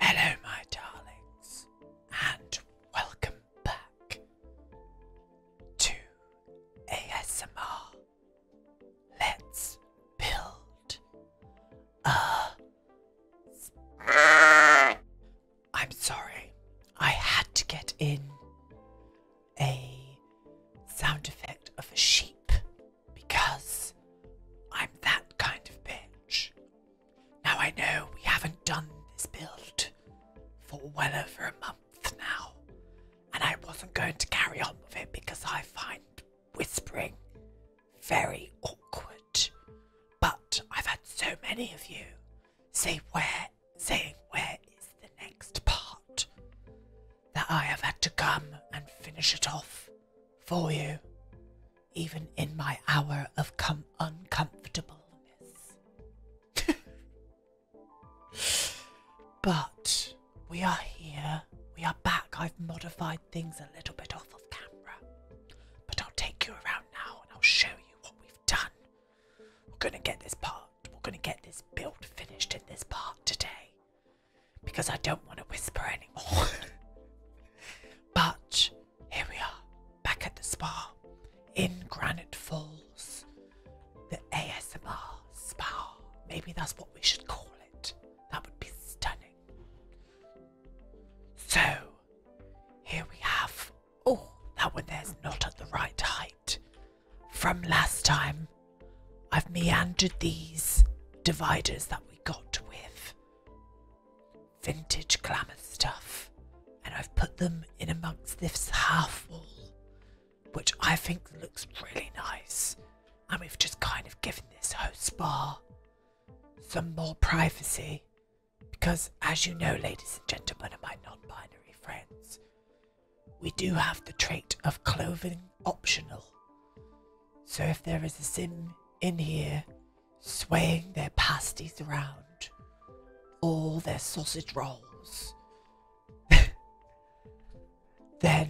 Hello, my darlings, and welcome back to ASMR. Let's build a. I'm sorry, I had to get in a sound effect of a sheep because I'm that kind of bitch. Now I know we haven't done this build for well over a month now, and I wasn't going to carry on with it because I find whispering very awkward. But I've had so many of you say where saying where is the next part that I have had to come and finish it off for you even in my hour of com uncomfortableness. but we are here. We are back. I've modified things a little bit off of camera. But I'll take you around now and I'll show you what we've done. We're going to get this part, we're going to get this build finished in this part today. Because I don't want to whisper anymore. but here we are, back at the spa in Granite Falls. The ASMR spa. Maybe that's what we should call it. That would be stunning. So, here we have. Oh, that one there's not at the right height. From last time, I've meandered these dividers that we got with vintage Klamath stuff, and I've put them in amongst this half wall, which I think looks really nice. And we've just kind of given this host bar some more privacy, because as you know, ladies and gentlemen, and my non binary friends, we do have the trait of clothing optional. So if there is a sin in here swaying their pasties around, all their sausage rolls. then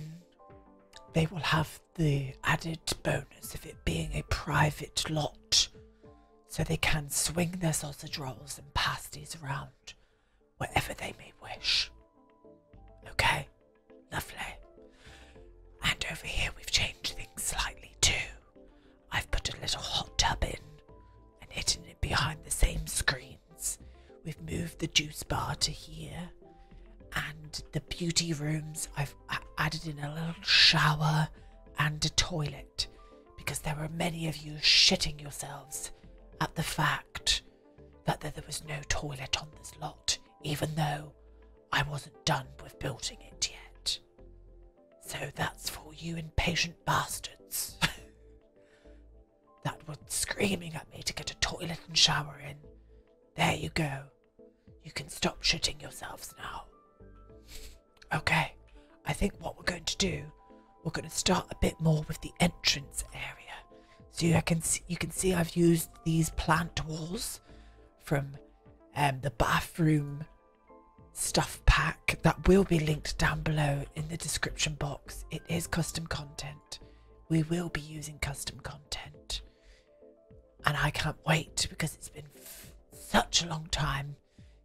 they will have the added bonus of it being a private lot, so they can swing their sausage rolls and pasties around wherever they may wish. Okay, lovely. And over here, we've changed things slightly too. I've put a little hot tub in and hidden it behind the same screens. We've moved the juice bar to here, and the beauty rooms, I've added in a little shower and a toilet because there were many of you shitting yourselves at the fact that there was no toilet on this lot, even though I wasn't done with building it yet. So that's for you impatient bastards that were screaming at me to get a toilet and shower in. There you go. You can stop shooting yourselves now. Okay, I think what we're going to do, we're going to start a bit more with the entrance area. So you can see, you can see I've used these plant walls from um, the bathroom stuff pack that will be linked down below in the description box. It is custom content. We will be using custom content. And I can't wait because it's been such a long time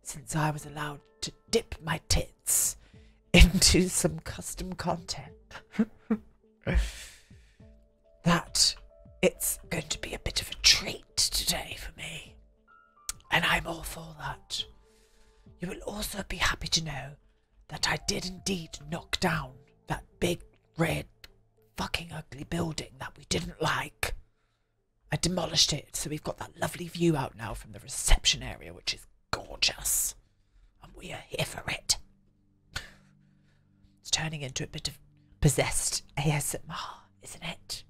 since I was allowed to dip my tits into some custom content. that it's going to be a bit of a treat today for me. And I'm all for that. You will also be happy to know that I did indeed knock down that big red fucking ugly building that we didn't like. I demolished it, so we've got that lovely view out now from the reception area, which is gorgeous. And we are here for it. It's turning into a bit of possessed ASMR, isn't it?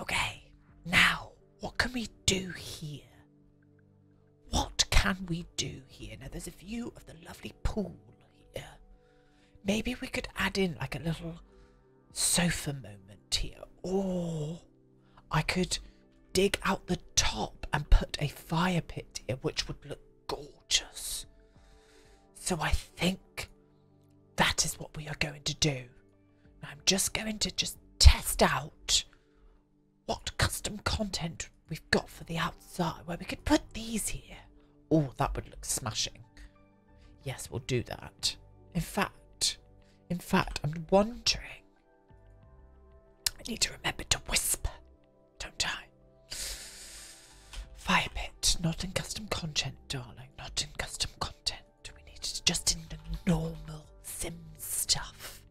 Okay, now, what can we do here? What can we do here? Now, there's a view of the lovely pool here. Maybe we could add in like a little sofa moment here. Or I could dig out the top and put a fire pit here, which would look gorgeous. So I think that is what we are going to do. I'm just going to just test out what custom content we've got for the outside where we could put these here. Oh, that would look smashing. Yes, we'll do that. In fact, in fact, I'm wondering. I need to remember to whisper don't die. Fire pit. Not in custom content, darling. Not in custom content. We need it just in the normal sim stuff.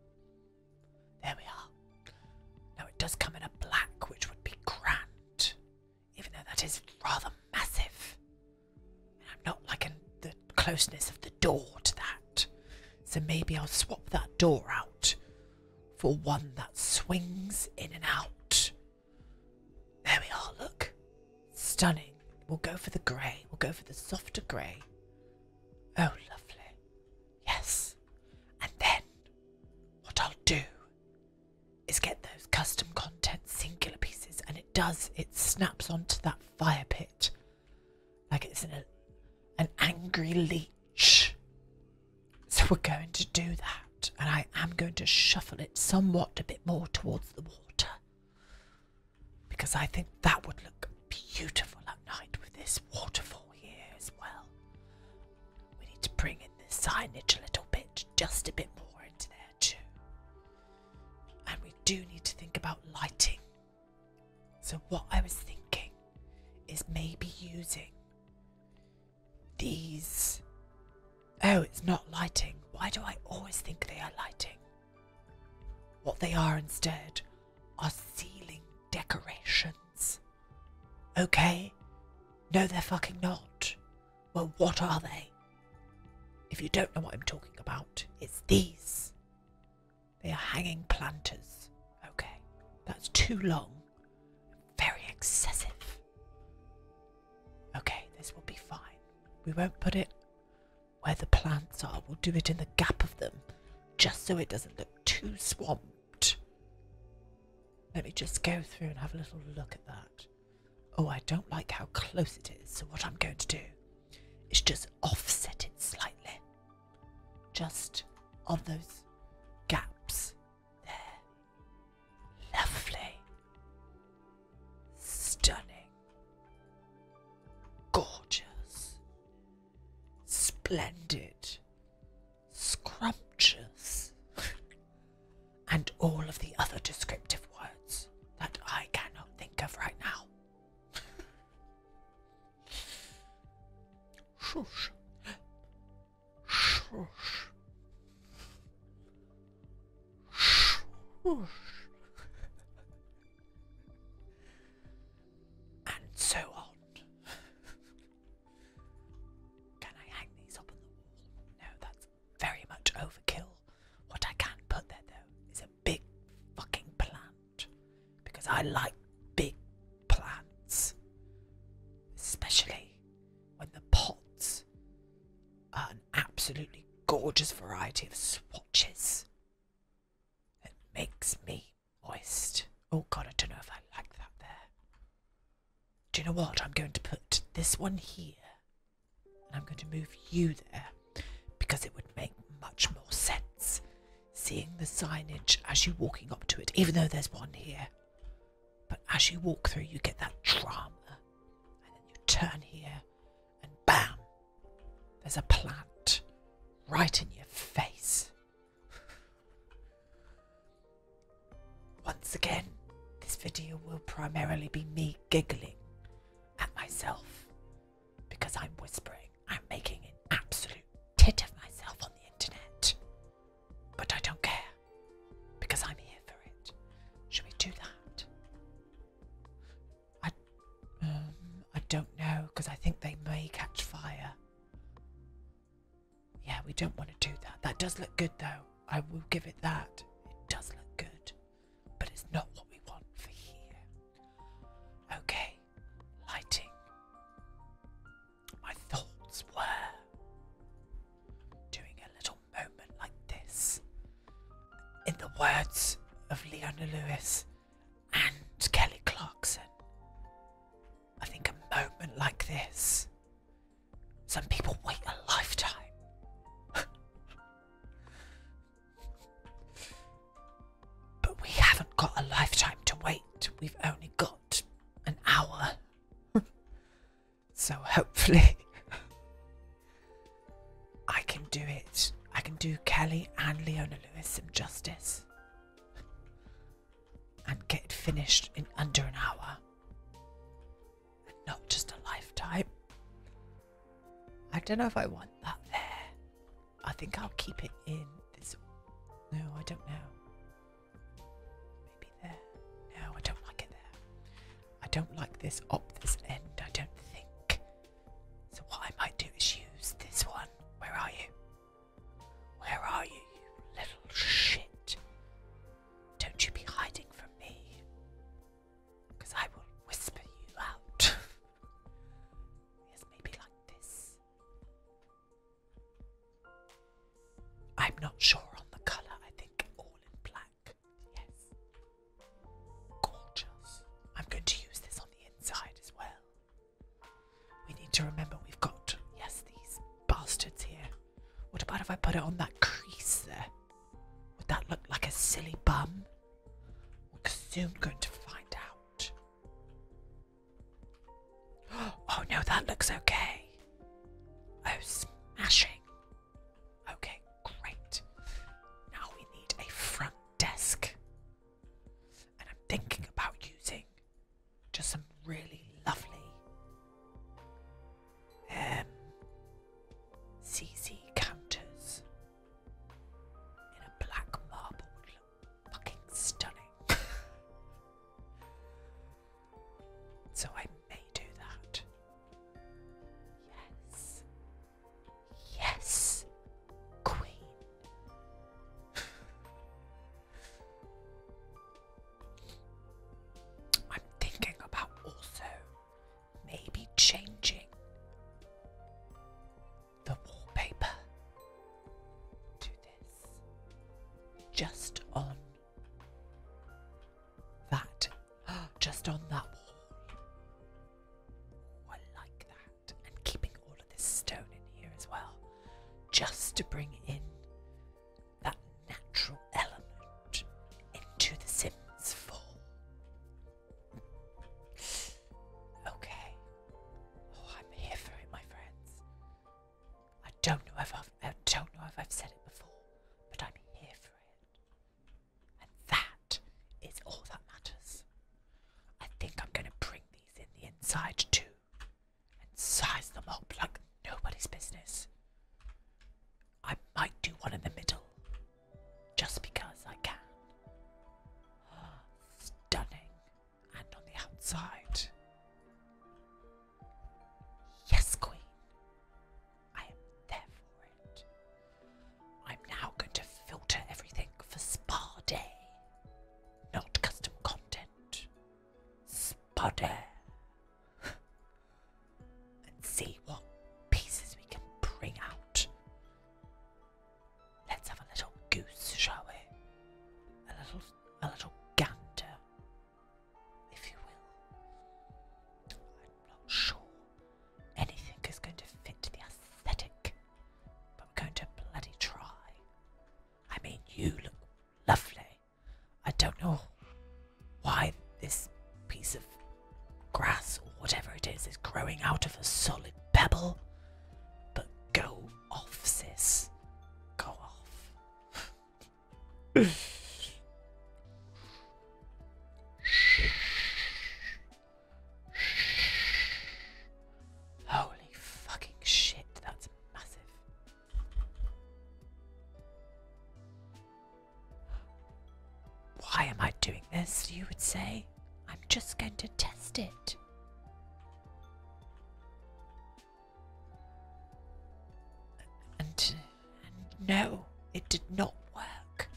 There we are. Now it does come in a black, which would be grand. Even though that is rather massive. I'm not liking the closeness of the door to that. So maybe I'll swap that door out for one that swings in and out. There we are, look. Stunning. We'll go for the grey. We'll go for the softer grey. Oh, lovely. Yes. And then what I'll do is get those custom content singular pieces, and it does, it snaps onto that fire pit like it's an, an angry leap so we're going to do that, and I am going to shuffle it somewhat a bit more towards the water because I think that would look beautiful at night with this waterfall here as well. We need to bring in the signage a little bit, just a bit more into there too. And we do need to think about lighting. So, what I was thinking is maybe using these. Oh, it's not lighting. Why do I always think they are lighting? What they are instead are ceiling decorations. Okay? No, they're fucking not. Well, what are they? If you don't know what I'm talking about, it's these. They are hanging planters. Okay, that's too long. Very excessive. Okay, this will be fine. We won't put it where the plants are, we'll do it in the gap of them, just so it doesn't look too swamped. Let me just go through and have a little look at that. Oh, I don't like how close it is, so what I'm going to do is just offset it slightly. Just on those gaps they're lovely, stunning, gorgeous, splendid, scrumptious, and all of the other descriptive words that I cannot think of right now. Shush. Swoosh. Swoosh. and so on. can I hang these up on the wall? No, that's very much overkill. What I can put there, though, is a big fucking plant. Because I like big plants, especially when the pots are an absolutely gorgeous variety of swatches. It makes me moist. Oh god, I don't know if I like that there. Do you know what? I'm going to put this one here and I'm going to move you there because it would make much more sense seeing the signage as you're walking up to it, even though there's one here. But as you walk through, you get that drama. And then you turn here, and bam! There's a plant right in your face. Once again, this video will primarily be me giggling at myself because I'm whispering. I'm making an absolute tit of myself on the internet. But I don't care because I'm here for it. Should we do that? I, um, I don't know because I think they may catch fire. Yeah, we don't want to do that. That does look good though. I will give it that. It does look good, but it's not what we want for here. Okay, lighting. My thoughts were doing a little moment like this. In the words of Leona Lewis and Kelly Clarkson, I think a moment like this, some people wait a lifetime. but we haven't got a lifetime to wait, we've only got an hour so hopefully I can do it. I can do Kelly and Leona Lewis some justice and get it finished in under an hour. And not just a lifetime. I don't know if I want that there. I think I'll keep it in this. No, I don't know. Maybe there. No, I don't like it there. I don't like this op. this end, I don't think. So what I might do is use this one. Where are you? Where are you, you little shit? Don't you be hiding from me. Because I will whisper you out. yes, maybe like this. I'm not sure on the colour, I think all in black. Yes. Gorgeous. I'm going to use this on the inside as well. We need to remember we've got, yes, these bastards here. What about if I put it on that crease there? Would that look like a silly bum? We're soon going to find out. Oh no, that looks okay. Oh, smashing. Okay, great. Now we need a front desk. And I'm thinking about using just some really lovely um, CZ counters in a black marble would look fucking stunning. So I may do that. Yes. Yes, Queen. I'm thinking about also maybe changing the wallpaper just on that, just on that wall. Oh, I like that. And keeping all of this stone in here as well, just to bring in that natural element into The Sims 4. Okay. Oh, I'm here for it, my friends. I don't know if I've, I have said it before, but I'm here for it, and that is all that matters. I think I'm going to bring these in the inside too, and size them up like nobody's business. I might do one in the middle, just because I can. Stunning and on the outside. Yes, Queen. I am there for it. I'm now going to filter everything for Spa Not custom content. Spa Day. Let's see what pieces we can bring out. Let's have a little goose, shall we? A little a little gander, if you will. I'm not sure anything is going to fit the aesthetic, but I'm going to bloody try. I mean, you look lovely. I don't know why this piece of grass or whatever it is is growing out of a solid pebble, but go off, sis. Go off. Holy fucking shit, that's massive. Why am I doing this, you would say? I'm just going to test it. And, no, it did not work.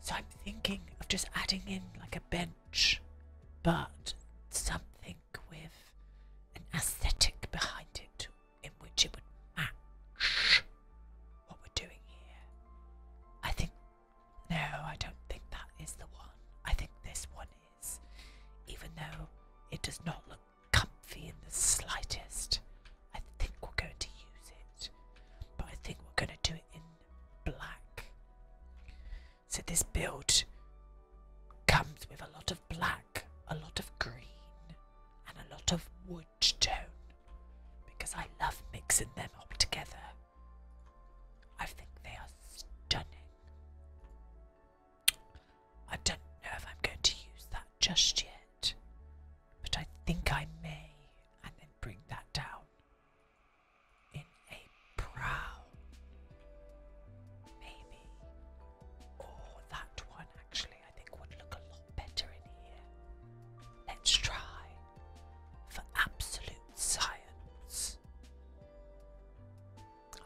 So I'm thinking of just adding in like a bench, but something with an aesthetic behind it in which it would match what we're doing here. I think, no, I don't think that is the one. I think this one even though it does not look comfy in the slightest. I think we're going to use it, but I think we're going to do it in black. So this build comes with a lot of black, a lot of green, and a lot of wood tone because I love mixing them up together. I think they are stunning. I don't know if I'm going to use that just yet, but I think I may, and then bring that down in a brow. Maybe. Or that one actually, I think, would look a lot better in here. Let's try for absolute science.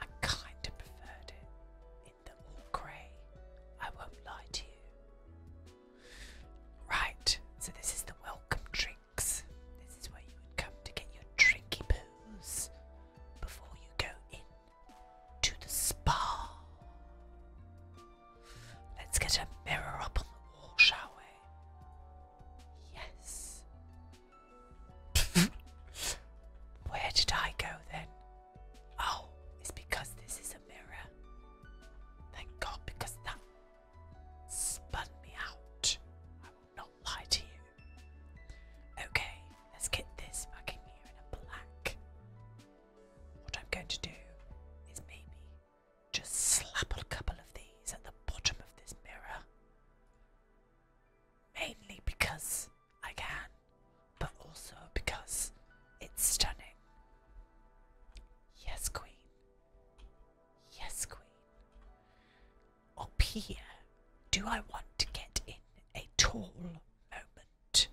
I kind of preferred it in the all grey. I won't lie to you. Right, so this is the welcome drinks. This is where you would come to get your drinky poos before you go in to the spa. Let's get a mirror up on the wall, shall we? Yes. Where did I go then? Oh, it's because this is a mirror. Thank God, because that spun me out. I will not lie to you. Okay, let's get this back in in a black. What I'm going to do is maybe just slap a couple of these at the bottom of this mirror. Mainly because I can, but also because it's stunning. Yes, Queen. Yes, Queen. Up here, do I want to get in a tall moment?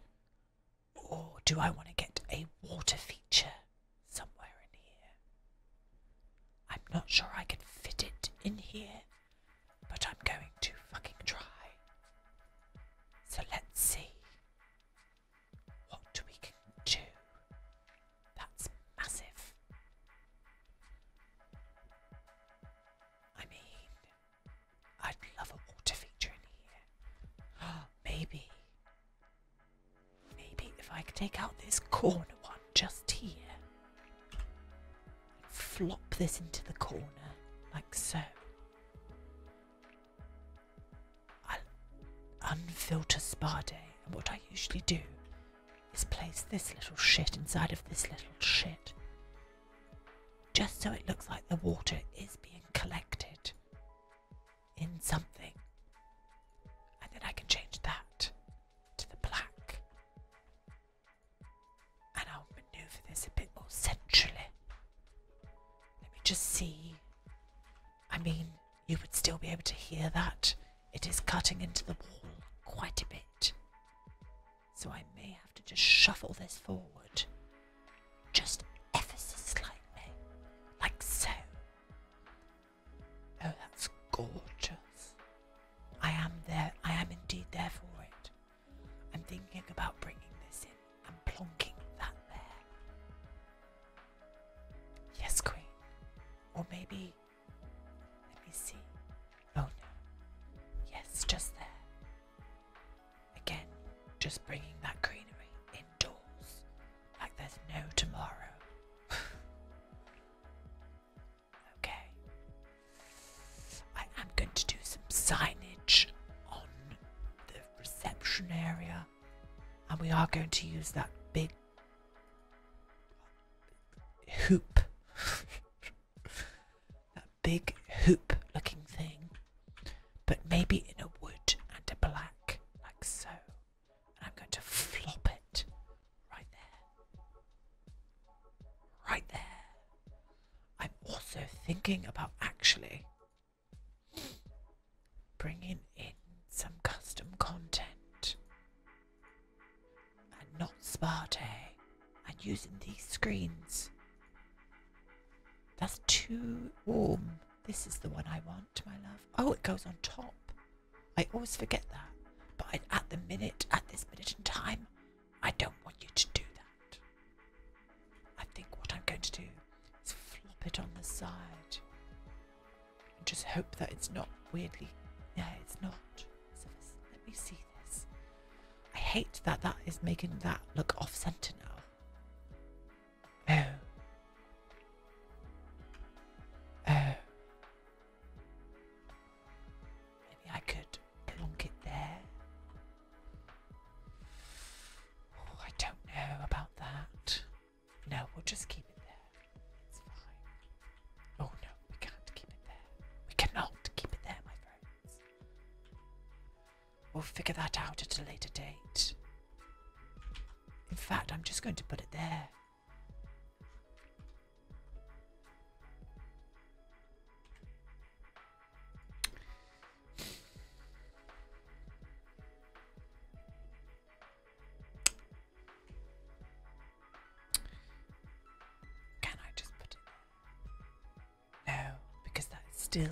Or do I want to get a water feature somewhere in here? I'm not sure I can fit it in here but I'm going to fucking try. So let's see what we can do. That's massive. I mean, I'd love a water feature in here. Maybe. Maybe if I could take out this corner one just here flop this into the corner, like so. i unfilter spa and what I usually do is place this little shit inside of this little shit, just so it looks like the water is being collected in something, and then I can change that to the black. And I'll maneuver this a bit more centrally. Let me just see. I mean, you would still be able to hear that. It is cutting into the wall quite a bit. So I may have to just shuffle this forward. Just ever so slightly. Like so. Oh, that's gorgeous. I am there. I am indeed there for it. I'm thinking about bringing this in. I'm plonking that there. Yes, Queen. Or maybe. Let me see. Oh no. Yes, just there. Again, just bringing that greenery indoors. Like there's no tomorrow. Okay. I am going to do some signage on the reception area, and we are going to use that big hoop. that big hoop looking thing, but maybe in a wood and a black, like so. And I'm going to flop it Right there. Right there. I'm also thinking about actually bringing in some custom content and not Sparte and using these screens. That's too warm. This is the one I want, my love. Oh, it goes on top. I always forget that. But at the minute, at this minute in time, I don't want you to do that. I think what I'm going to do is flop it on the side and just hope that it's not weirdly. Yeah, it's not. let me see this. I hate that that is making that look off centre now. Oh. Oh. Maybe I could plonk it there. Oh, I don't know about that. No, we'll just keep it there. It's fine. Oh no, we can't keep it there. We cannot keep it there, my friends. We'll figure that out at a later date. In fact, I'm just going to put it there. Can I just put it? No, because that is still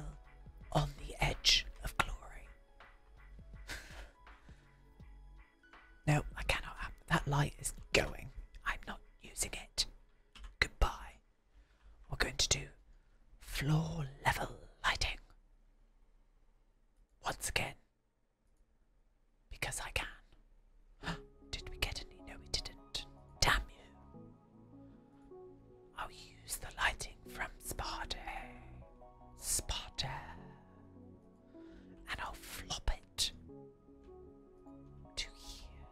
on the edge of glory. No, I cannot that light is going. I'm not using it. Goodbye. We're going to do floor level lighting. Once again. Because I can. Did we get any? No, we didn't. Damn you. I'll use the lighting from Sparta. Sparta. And I'll flop it to here.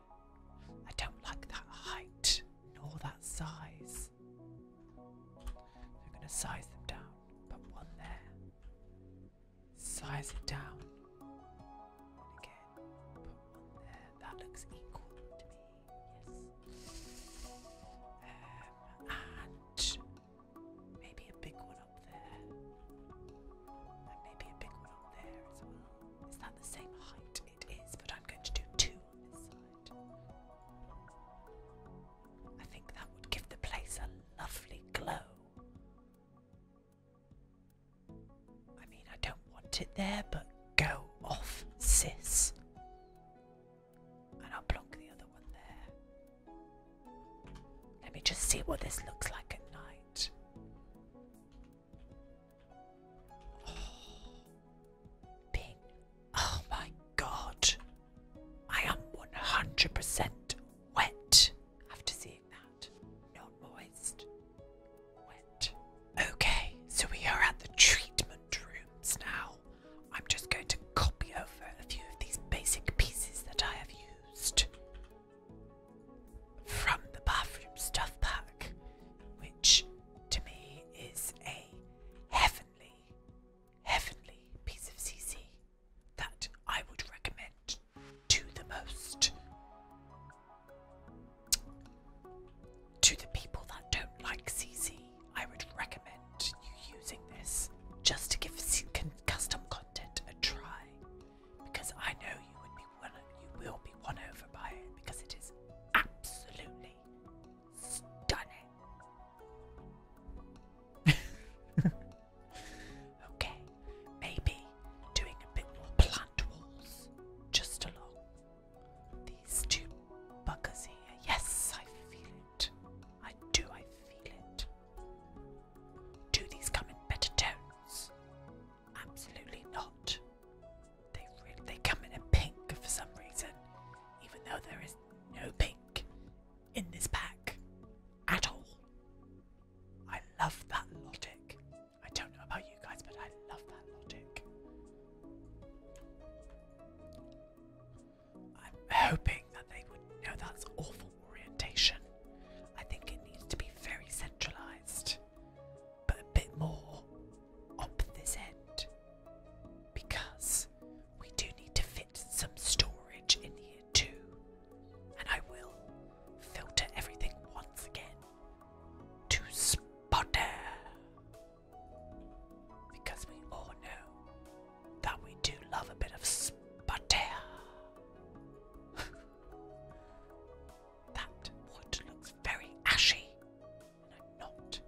I don't like that height nor that size. I'm going to size them down. Put one there. Size it down. again, put one there. That looks equal to me. Yes. Um, and maybe a big one there. And maybe a big one up there as well. Is that the same height? It is, but I'm going to do two on this side. I think that would give the place a lovely glow. I mean, I don't want it there, but go off, sis. And I'll block the other one there. Let me just see what this looks like at night. Oh, oh my god. I am 100% wet after seeing that. Not moist. Wet. Okay, so we are at the treatment rooms now. I'm just going to copy over a few of these basic pieces that I have used from the bathroom stuff pack, which to me is a heavenly, heavenly piece of CC that I would recommend to the most. To the people that don't like CC, I would recommend you using this just to give custom content a try because I know you would be you will be won over by it because it is absolutely stunning. okay, maybe doing a bit more plant walls just along these two buggers here. Yes, I feel it. I do, I feel it. Do these come in better tones? Absolutely not. They really, they come in a pink for some reason, even though there is no pink in this pack at all. I love that logic. I don't know about you guys, but I love that logic. I'm hoping that they would know that's awful orientation. I think it needs to be very centralized, but a bit more up this end because we do need to fit some storage in here too. And I will filter everything once again to Spotter because we all know that we do love a bit of Spotter. That wood looks very ashy. I'm not.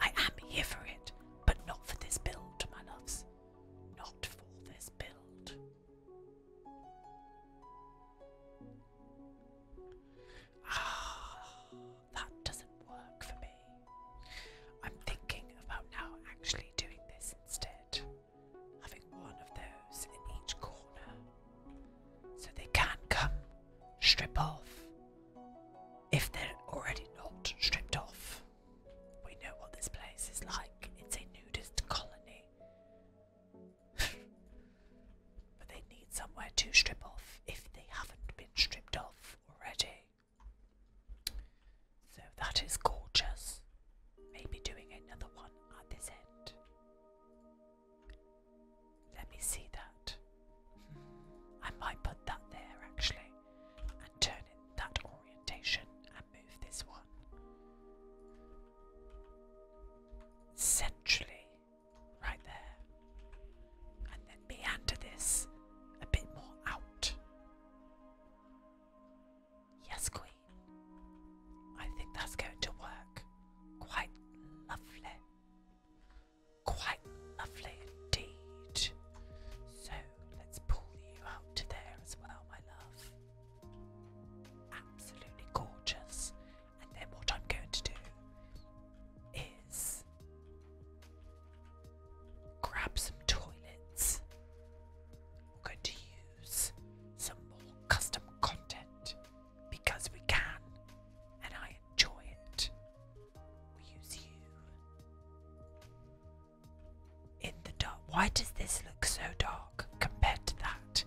I am here for it, but not for this build, my loves. Not for this build. Ah, that doesn't work for me. I'm thinking about now actually doing this instead having one of those in each corner so they can come strip off if they're already not stripped off. We know what this place is like, it's a nudist colony. but they need somewhere to strip off if they haven't been stripped off already. So that is gorgeous. Maybe doing another one at this end. Let me see that. I might put that there actually and turn it that orientation and move this one. Centrally, right there. And then meander this a bit more out. Yes, Queen. I think that's going to work. Quite lovely. Quite lovely indeed. So let's pull you out there as well, my love. Absolutely gorgeous. And then what I'm going to do is grab some toilets we're going to use some more custom content because we can and I enjoy it. We use you in the dark. Why does this look so dark compared to that?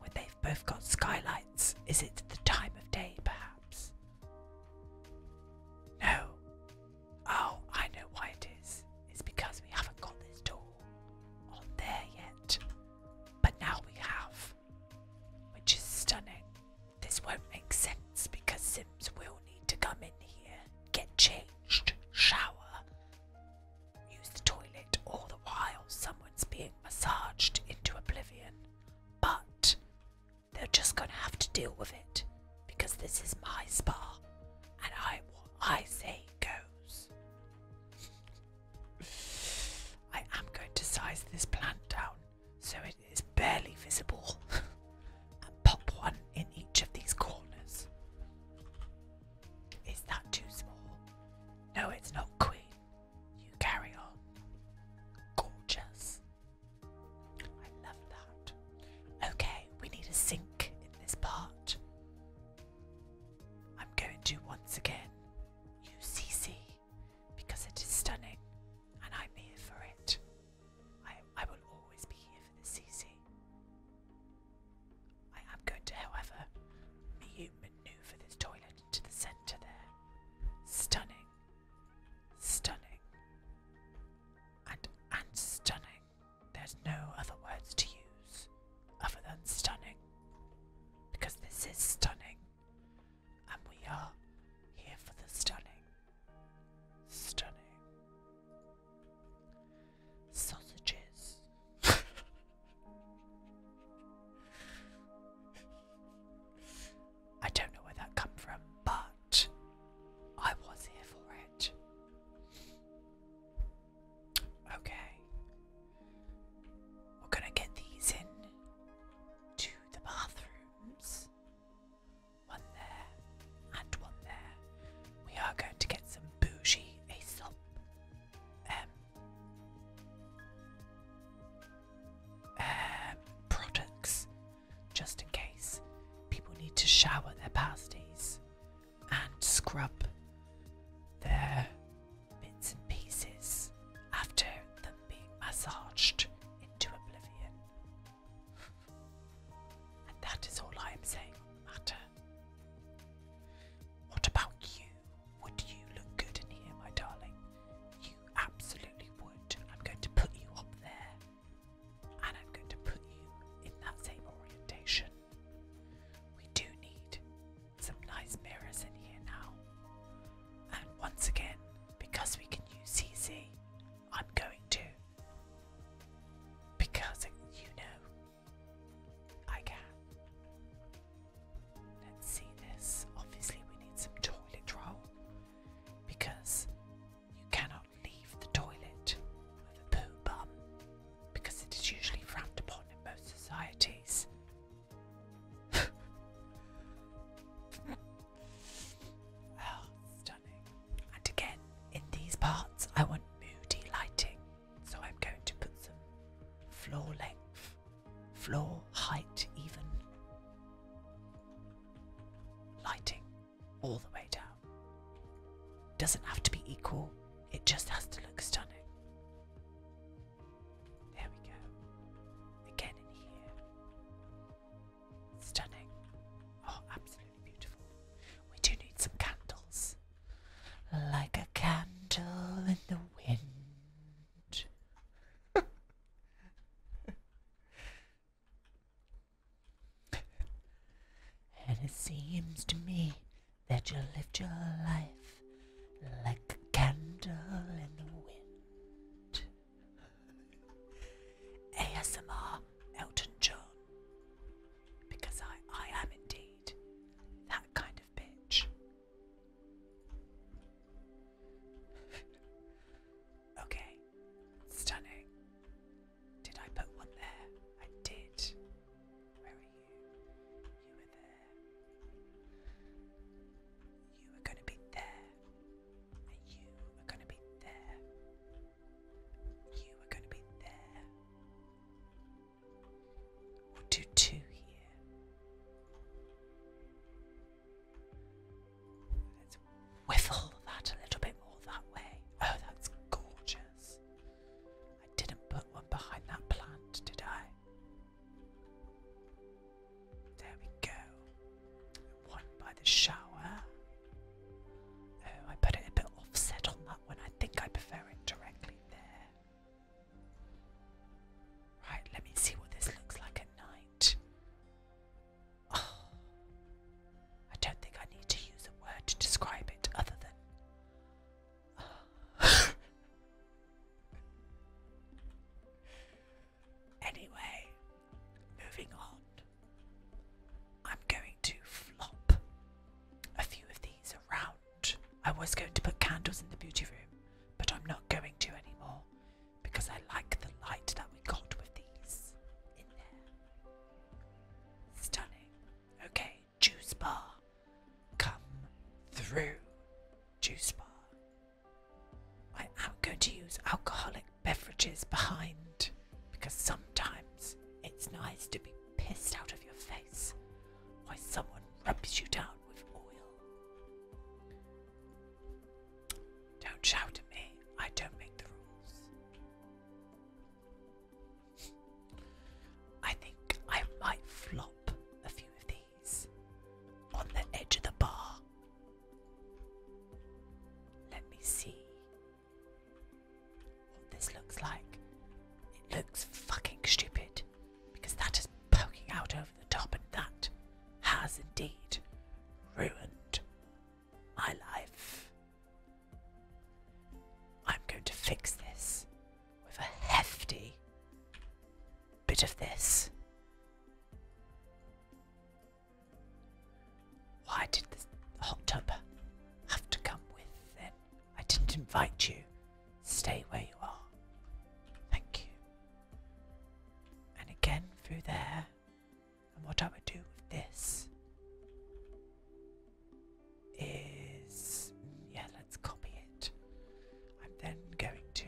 When they've both got skylights, is it the time of day perhaps? No. Oh, I know why it is. It's because we haven't got this door on there yet, but now we have, which is stunning. This won't make sense because Sims will need to come in here, get changed, shower, use the toilet, all the while someone's being massaged into oblivion. But they're just gonna have to deal with it because this is my spa, and I I say go I am going to size this plant down so it is barely visible and pop one in each of these corners. Is that too small? No, it's not, Queen. You carry on. Gorgeous. I love that. Okay, we need a sink in this part. I'm going to once again UCC, because it is stunning and I'm here for it. I, I will always be here for the CC. I am going to, however, maneuver this toilet into the centre there. Stunning. Stunning. And, and stunning. There's no other words to use other than stunning. Because this is stunning. And we are here for the stunning. Stunning. Sausages. I don't know where that come from, but I was here for it. Okay. We're gonna get these in to the bathrooms. One there and one there. We are going to get some bougie Aesop. Um, um, products just in case people need to shower their pasties and scrub their bits and pieces after them being massaged into oblivion. And that is all I am saying on the matter. What about you? Would you look good in here, my darling? You absolutely would. I'm going to put you up there. And I'm going to put you in that same orientation. We do need some nice mirrors in here now. And once again, because we can use CC, I'm going to. Because you know, I can. Let's see this. Obviously, we need some toilet roll because you cannot leave the toilet with a poo bum because it is usually frowned upon in most societies. oh, stunning. And again, in these parts, I want moody lighting, so I'm going to put some floor length, floor height, even lighting all the way down. Doesn't have to be equal, it just has to look stunning. There we go. Again in here. Stunning. Oh, absolutely beautiful. We do need some candles. Like a candle in the wind. And it seems to me that you lived your life like a candle in the wind. ASMR Elton John. Because I, I am indeed that kind of bitch. okay, stunning. Did I put one there? I did. you? were there. You were going to be there. you were going to be there. You were going to be there. do two here. Let's whiffle that a little bit more that way. Oh, that's gorgeous. I didn't put one behind that plant, did I? There we go. One by the shower. Oh, I put it a bit offset on that one. I think I prefer it directly there. Right, let me see what this looks like at night. Oh. I don't think I need to use a word to describe it other than. anyway, moving on. I'm going to flop a few of these around. I was going to put candles in the beauty room, but I'm not going to anymore because I like the light that we got with these in there. Stunning. Okay, Juice Bar. Come through, Juice Bar. I'm going to use alcoholic beverages behind because sometimes it's nice to be pissed out of your face Why someone rubs you down with oil. Don't shout at me, I don't make the rules. I think I might flop a few of these on the edge of the bar. Let me see what this looks like. It looks fucking stupid because that is poking out over the top, and that has indeed ruined my life. I'm going to fix this with a hefty bit of this. Why did the hot tub have to come with then? I didn't invite you. Stay where you are. Thank you. And again through there. And what I would do with this is yeah, let's copy it. I'm then going to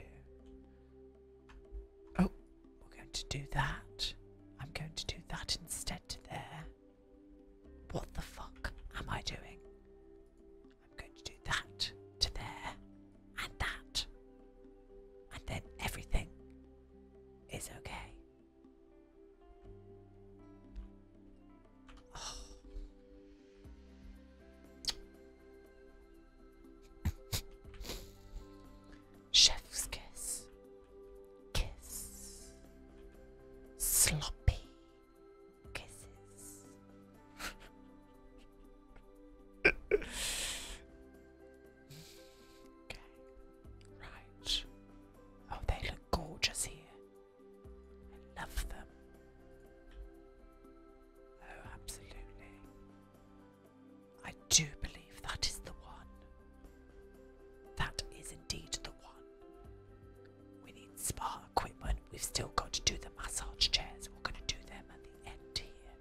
Oh, we're going to do that. I'm going to do that instead there. What the fuck am I doing? I'm going to do that to there and that. And then everything is okay. Chef's kiss, kiss, sloppy kisses. okay, right. Oh, they look gorgeous here. I love them. Oh, absolutely. I do believe that is the one. That is indeed the one. We need spa equipment. We've still got to do the massage chairs. We're going to do them at the end here.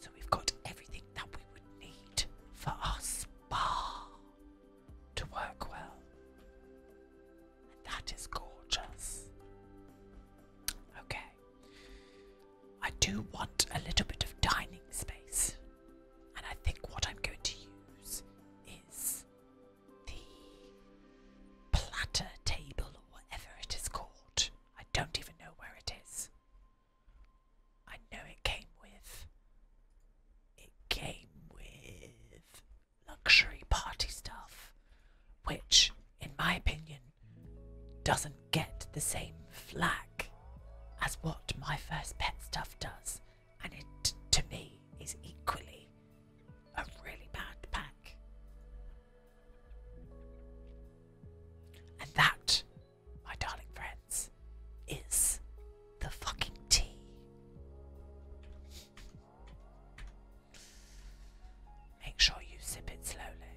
So we've got everything that we would need for our spa to work well. That is gorgeous. Okay. I do want a little bit of dining space, and I think what I'm going to use is the platter table or whatever it is called. I don't even know where it is. I know it came with it came with luxury party stuff, which, in my opinion, doesn't get the same flack as what my first pet stuff does, and it, to me, is equally a really bad pack. And that, my darling friends, is the fucking tea. Make sure you sip it slowly.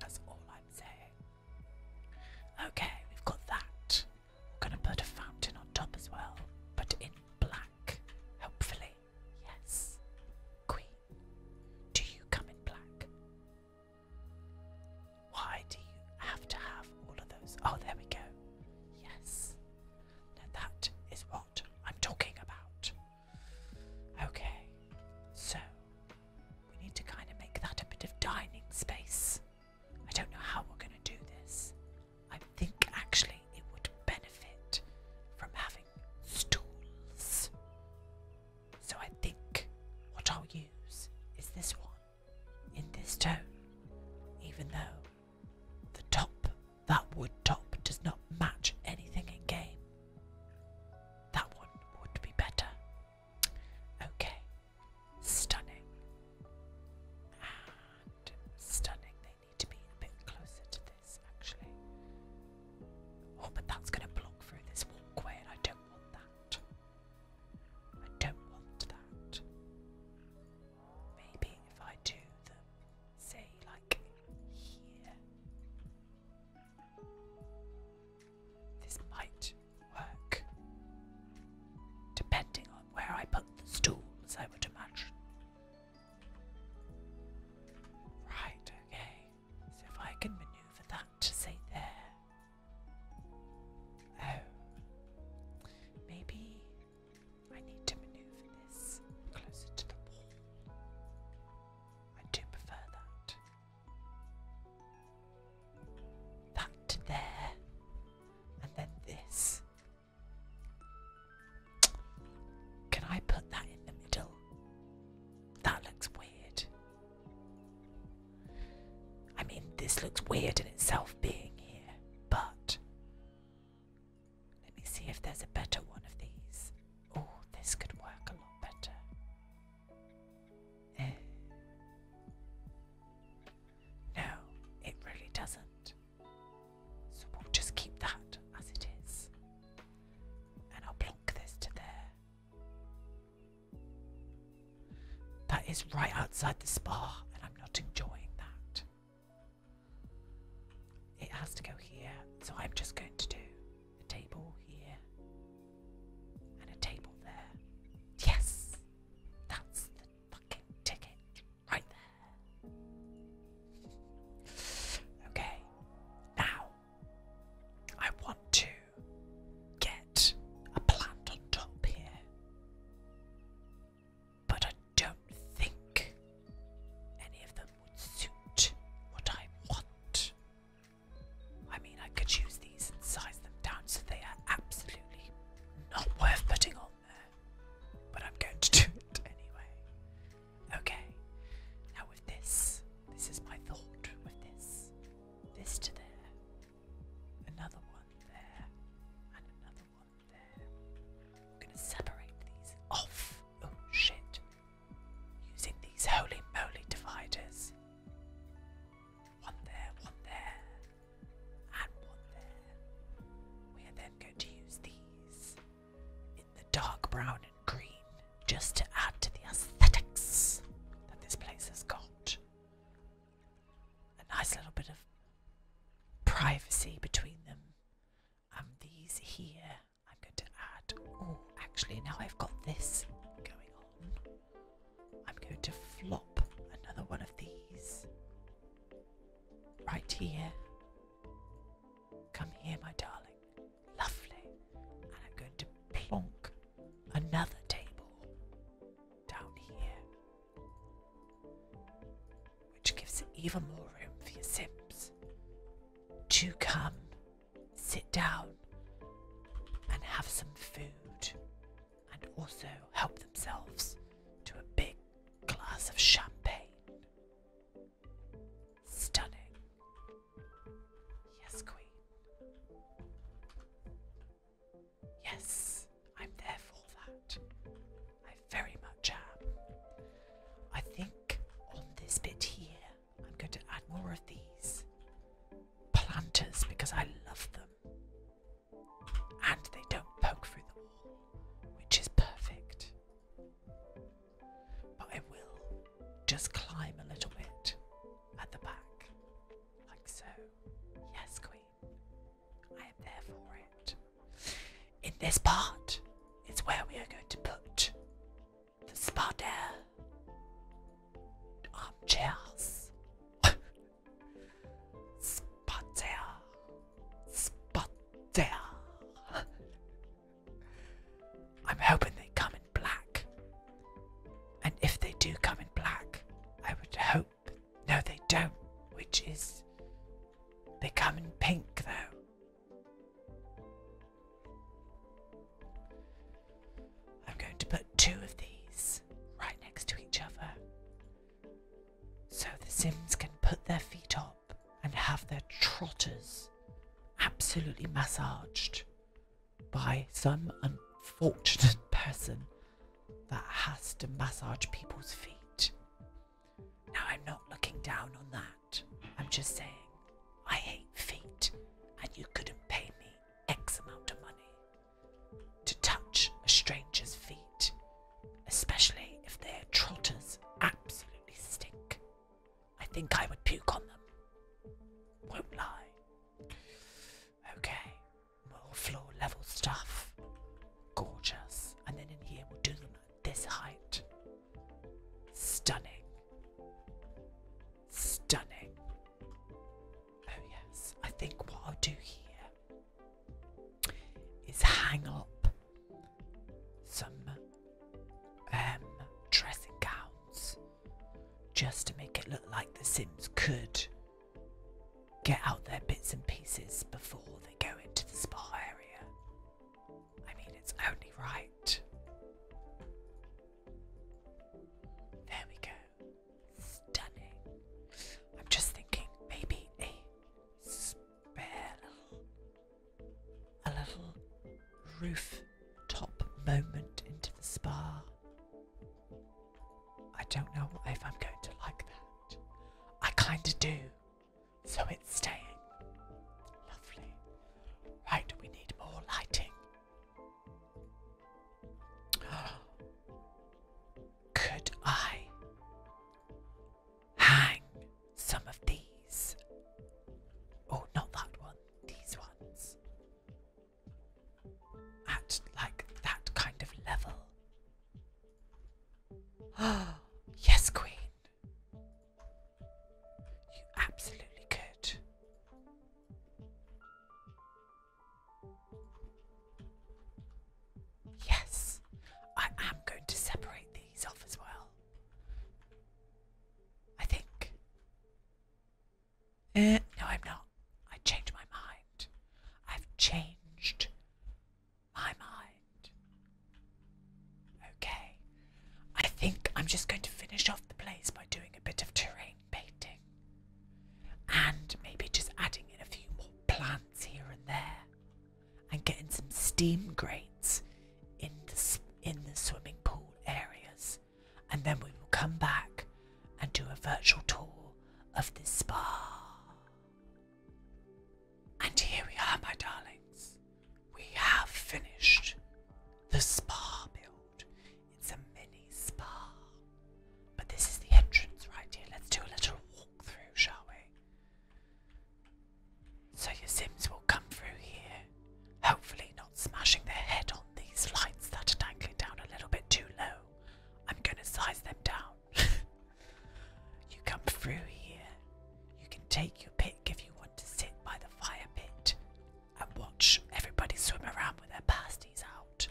That's all I'm saying. Okay, we've got that. We're gonna put a fountain on top as well, but in black, hopefully. Yes. Queen, do you come in black? Why do you have to have all of those? Oh, there we go. Yes. that is what I'm talking about. Okay, so we need to kind of make that a bit of dining space. I don't know how we're going to do this. I think actually it would benefit from having stools. So I think what I'll use is this one in this tone, even though the top, that wood top, does not match anything in game. That one would be better. Okay, stunning. And stunning, they need to be a bit closer to this actually. Oh, but that's going to block through this walkway, and I don't want that. I don't want that. Maybe if I do the say, like here. This might work. Depending on where I put the stools, I would imagine. Right, okay. So if I can maneuver that to say there. Oh. Maybe I need to maneuver this closer to the wall. I do prefer that. That to there. And then this. Can I put that in the middle? That looks weird. I mean, this looks weird in itself being here. But let me see if there's a better one of these. Oh, this could work a lot better. Eh. No, it really doesn't. So we'll just keep that as it is. And I'll plonk this to there. That is right outside the spa, and I'm not enjoying that. It has to go here, so I'm just going to do a table here and a table there. Yes! That's the fucking ticket right there. Okay, now I want to get a plant on top here but I don't think any of them would suit what I want. I mean, I could use these and size them down so they are absolutely not worth putting on there, but I'm going to do it anyway. Okay, now with this, this is my thought with this. This to there, Another one there. And another one there. I'm gonna separate these off. Oh shit. Using these holy moly dividers. One there, one there, and one there. We are then going to use these in the dark brown and green just to add to the aesthetics that this place has got. A nice little bit of privacy between them. And um, these here, I'm going to add. Oh, actually, now I've got this going on. I'm going to flop another one of these right here. Come here, my darling. Lovely. And I'm going to plonk another table down here which gives even more room for your sims to come sit down and have some food and also help themselves to a big glass of champagne. Stunning. Yes, Queen. Yes, I'm there for that. I very much am. I think on this bit here, I'm going to add more of these planters because I love them. And they don't poke through the wall, which is perfect. But I will just climb a little bit at the back, like so. Yes, Queen. In this part, it's where we are going to put the spider armchairs. Spider. Spider. I'm hoping they come in black. And if they do come in black, I would hope. No, they don't. Which is. They come in pink, though. I'm going to put two of these right next to each other so the Sims can put their feet up and have their trotters absolutely massaged by some unfortunate person that has to massage people's feet. Now, I'm not looking down on that. I'm just saying, I hate feet, and you couldn't pay me X amount of money to touch a stranger's feet, especially if their trotters absolutely stink. I think I would puke on them. Won't lie. Okay, more floor level stuff. Gorgeous. And then in here we'll do them at this height. Stunning. Stunning. Oh yes, I think what I'll do here is hang up some um, dressing gowns just to make it look like the Sims could get out their bits and pieces before they go into the spa area. I mean, it's only right. There we go. Stunning. I'm just thinking maybe a spare a little rooftop moment into the spa I don't know if I'm going to like that. I kind of do. So it's staying. Lovely. Right, we need more lighting. Could I hang some of these? Oh, not that one, these ones at like that kind of level. Oh, yes, Queen. You absolutely could. Yes, I am going to separate these off as well. I think. Uh, no, I'm not. I changed my mind. I've changed my mind. Okay. I think I'm just going to finish off the place by doing a bit of terrain painting and maybe just adding in a few more plants here and there and getting some steam grates in the in the swimming pool areas and then we will come back and do a virtual tour of the spa. And here we are, my darlings. We have finished the spa build. It's a mini spa. But this is the entrance right here. Let's do a little walk through, shall we? So your Sims will come through here, hopefully not smashing their head on these lights that are dangling down a little bit too low. I'm gonna size them down. you come through here. You can take your pick if you want to sit by the fire pit and watch everybody swim around with their pasties out.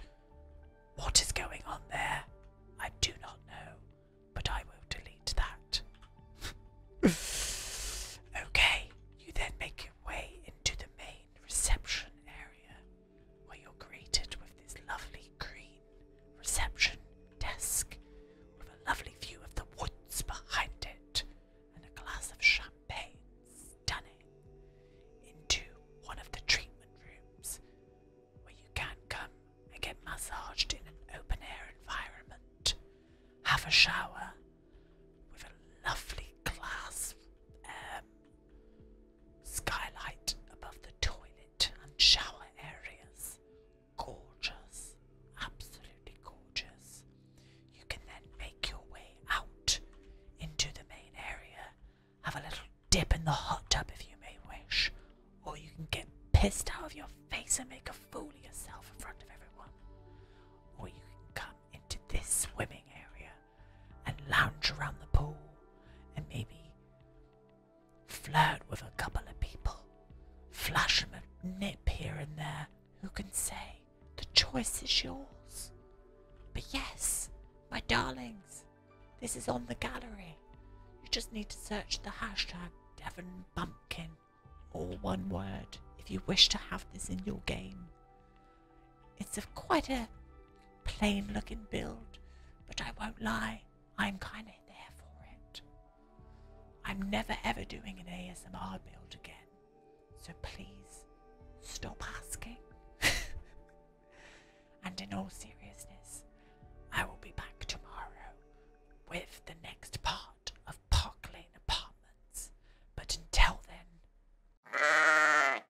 What is going on there? I do not know, but I will delete that. okay, you then make your way into the main reception area where you're greeted with this lovely green reception desk with a lovely view of the woods behind it and a glass of champagne stunning into one of the treatment rooms where you can come and get massaged in an open air environment, have a shower with a lovely glass um, Skylight above the toilet and shower areas. Gorgeous. Absolutely gorgeous. You can then make your way out into the main area. Have a little dip in the hot tub if you may wish. Or you can get pissed out of your face and make a fool of yourself in front of everyone. Or you can come into this swimming area and lounge around the pool and maybe flirt with a couple of people, flash them a nip here and there. Who can say? The choice is yours. But yes, my darlings, this is on the gallery. You just need to search the hashtag Devon Bumpkin, all one word, if you wish to have this in your game. It's a, quite a plain looking build, but I won't lie, I'm kind of there for it. I'm never ever doing an ASMR build again, so please stop asking. and in all seriousness, I will be back tomorrow with the next part of Park Lane Apartments. But until then.